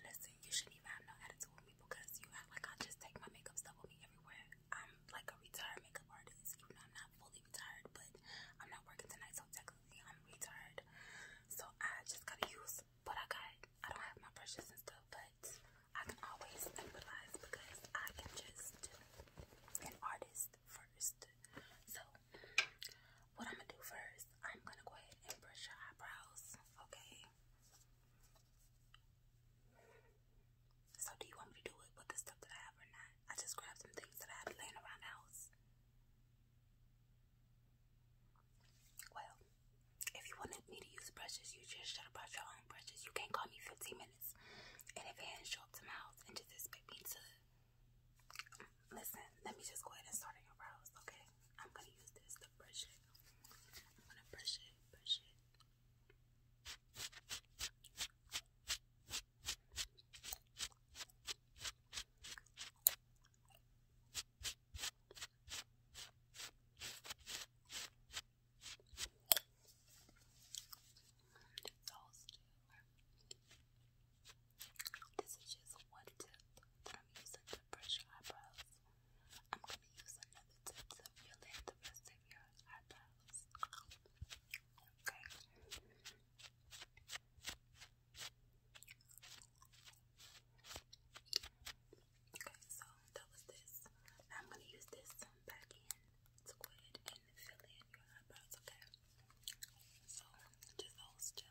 Listen, you shouldn't even have no attitude with me because you act like I just take my makeup stuff with me everywhere. I'm like a retired makeup artist. You know, I'm not fully retired, but I'm not working tonight, so technically I'm retired. So I just gotta use what I got. I don't have my brushes and stuff, but I can always improvise because I am just an artist first. So what I'm gonna do first I'm gonna go ahead and brush your eyebrows, okay? So, do you want me to do it with the stuff that I have or not? I just grabbed some things that I had laying around the house. Well, if you wanted me to use brushes, you just should have brought your own brushes. You can't call me 15 minutes in advance, show up to my house, and just expect me to. Listen, let me just go ahead and start your brows, okay? I'm gonna use this to brush it. I'm gonna brush it, brush it. This is just one tip that I'm using to brush your eyebrows. I'm gonna use another tip to fill in the rest of your eyebrows. Okay. Okay, so that was this. I'm gonna use this back in to go and fill in your eyebrows, okay? So just hold still.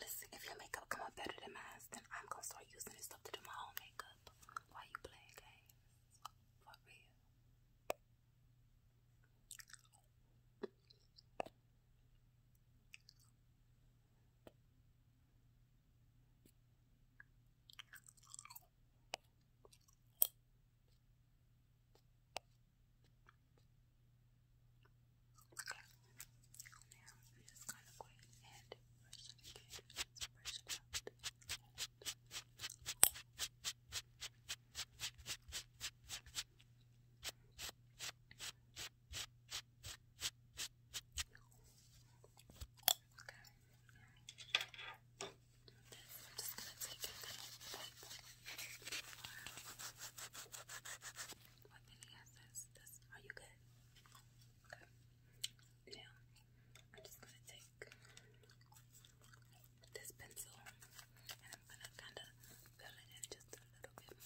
Listen, if your makeup come out better than mine, then I'm gonna start using this stuff to do my own makeup. Why you playing games? For real. Now i just gonna go and brush it again. brush it Okay. This, I'm just gonna take a little wipe. What are you good? Okay. Now, I'm just gonna take this pencil and I'm gonna kind of fill it in just a little bit more.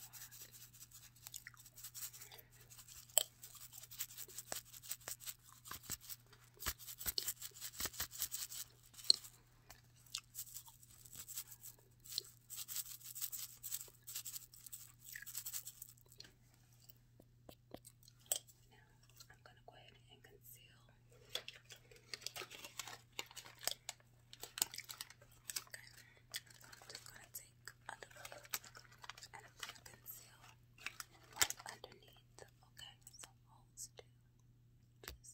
Now, I'm going to go ahead and conceal. Okay. I'm just going to take a bit and i underneath. Okay, so hold still. Just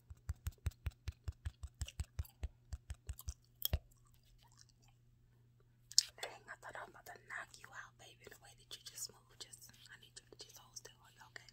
Dang, I thought I was about to knock you out, baby, the way that you just move. Just, I need you to just hold still. okay? Okay.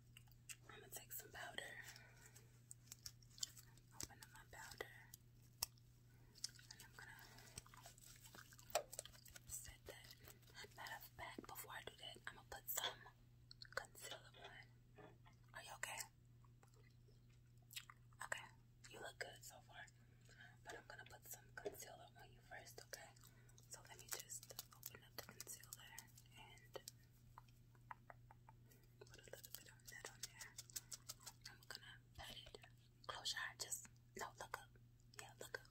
I'm gonna take some powder. I'm my powder. And I'm gonna set that. Matter of fact, before I do that, I'm gonna put some concealer on. Are you okay? Okay, you look good so far. But I'm gonna put some concealer on you first, okay? So let me just open up the concealer and Put a little bit of that on there. I'm gonna pat it. Close your eye, just no look up. Yeah, look up.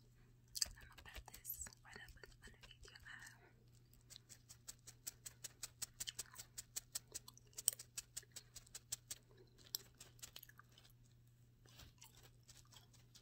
I'm gonna pat this right up underneath your eye.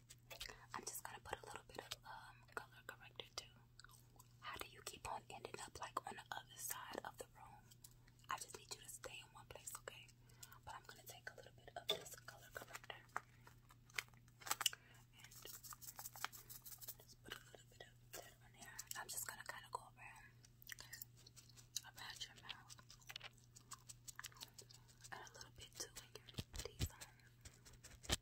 I'm just gonna put a little bit of um, color corrector too. How do you keep on ending up like on the other side of the room? I just need you to stay in one place, okay? But I'm gonna take a little bit of this color corrector and just put a little bit of that on there. I'm just gonna kind of go around, Around your mouth and a little bit too in your T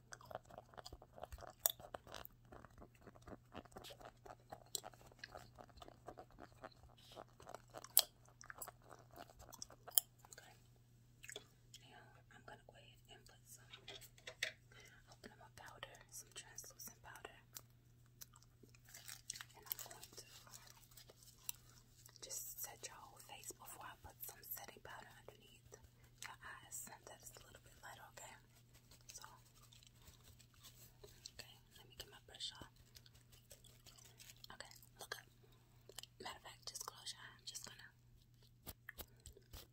Now I'm gonna go ahead and put some albumin powder, some translucent powder, and I'm going to um, just set your whole face before I put some setting powder underneath your eyes that is a little bit lighter, okay? So, okay, let me get my brush off. Okay, look up. Matter of fact, just close your eye. just gonna. Okay,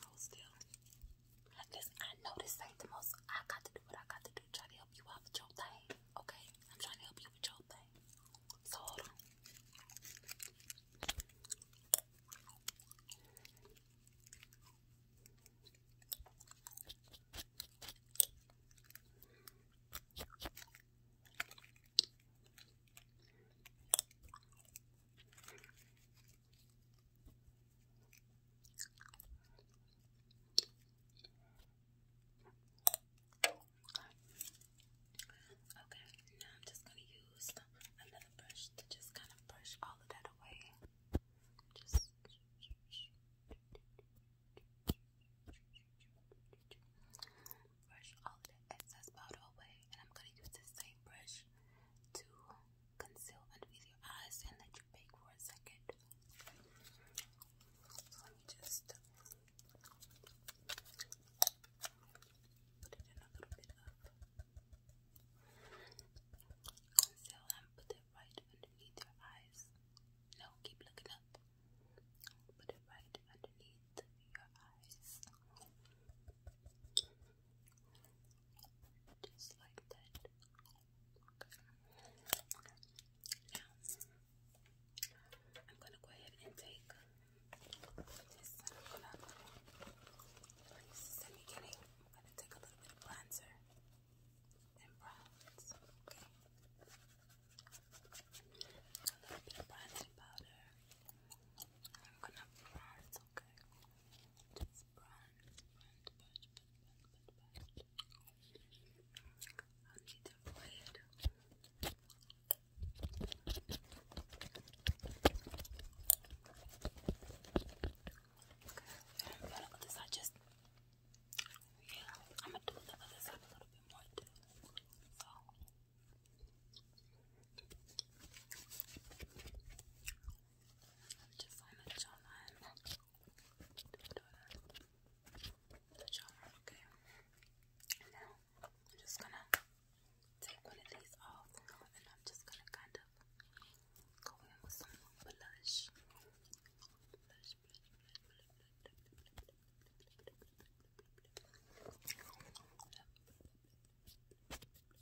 hold still. Listen, I know this ain't the most. I got to do what I got to do. Try to help you out with your thing, okay? I'm trying to help you with your thing. So hold on. Okay, now I'm just going to use another brush to just kind of brush all of that away. Just brush all the excess powder away, and I'm going to use the same brush to concealment with your eyes and let you bake for a second. Let me just put it in a little bit of conceal and put it right underneath your eyes. No, keep looking up. Put it right underneath your eyes. Just like that. Now, I'm gonna go ahead and take this. I'm gonna, this the beginning. I'm gonna take a little bit of bronzer and bronze. Okay. A little bit of bronzing powder. I'm gonna bronze, okay. That's brown, I need a red. Okay, this I just yeah, I'm gonna do the other side a little bit more too. So to find the jawline. The jawline, okay. And now I'm just gonna take one of these off, and I'm just gonna kind of go in with some blush.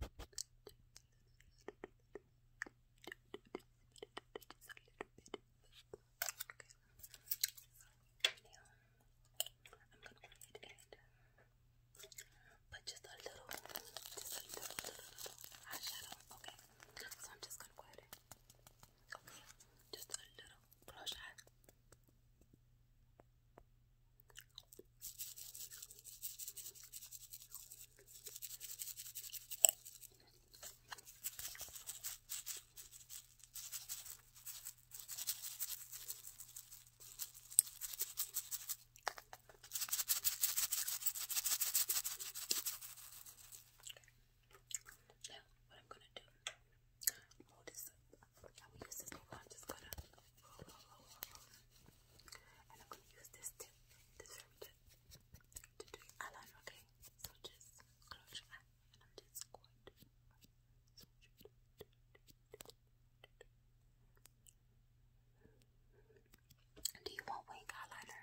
But just a little, just a little, little, little eyeshadow. Okay, so I'm just gonna go ahead okay, just a little brush now, what I'm gonna do, hold this up. I use this paper. I'm just gonna and I'm gonna use this tip, this very to do eyeliner, okay? So just close your eye and I'm just going do you want wing eyeliner?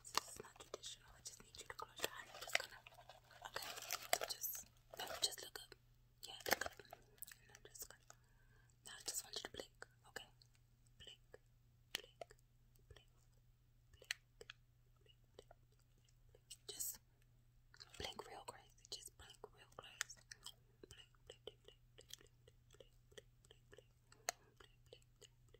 this is not traditional. I just need you to close your eyes. I'm just gonna. Okay. just just look up. Yeah, look up. And I'm just gonna. Now I just want you to blink. Okay. Blink. Blink. Blink. Blink. Blink. blink. Just blink real Just blink real crazy. Blink. Blink. Blink. Blink. Blink. Blink. Blink. Blink. Blink. Blink. Blink. Blink. Blink. Blink. Blink. Blink.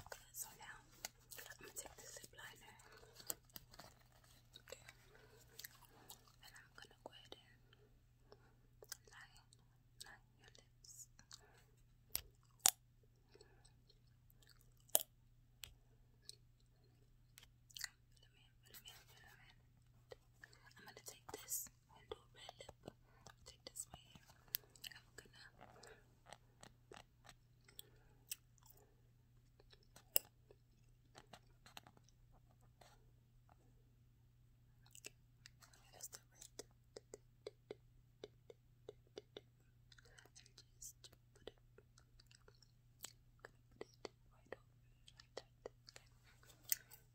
Okay, so now I'm gonna take the zip liner. And I'm gonna go ahead and line, line your lips. I'm gonna take this and do red lip. Take this right here. I'm gonna use red and just put it. i put it right over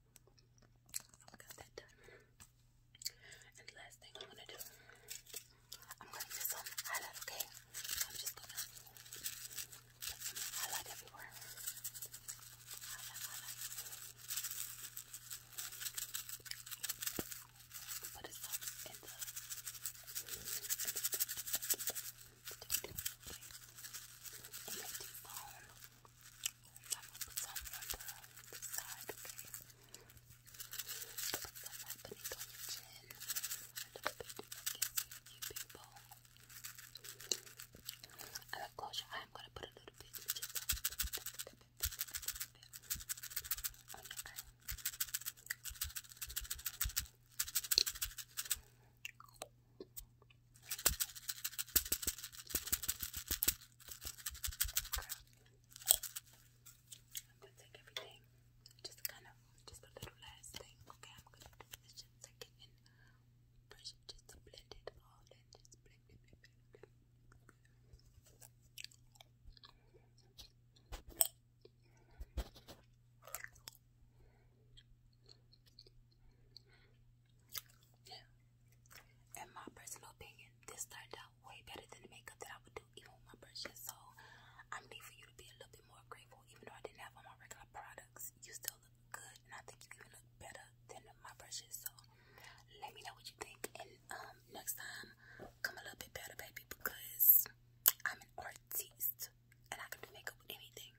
so we last thing I'm gonna do, I'm gonna do some highlight, okay? I'm just gonna highlight everywhere. Highlight, highlight. Put it some I'm gonna put some on the side, okay? Put some right your chin. A little bit against you people. I'm going I'm gonna put a little bit I'm gonna take everything, just kind of, just a little last thing, okay? I'm gonna just a second and brush it just to blend it all in, just blend it, blend it, yeah. In my personal opinion, this turned out way better than the makeup that I would do even with my brushes. So I'm need for you to be a little bit more grateful. Even though I didn't have all my regular products, you still look good, and I think you even look better than my brushes. So let me know what you think, and um, next time come a little bit better, baby, because I'm an artist and I can do makeup with anything.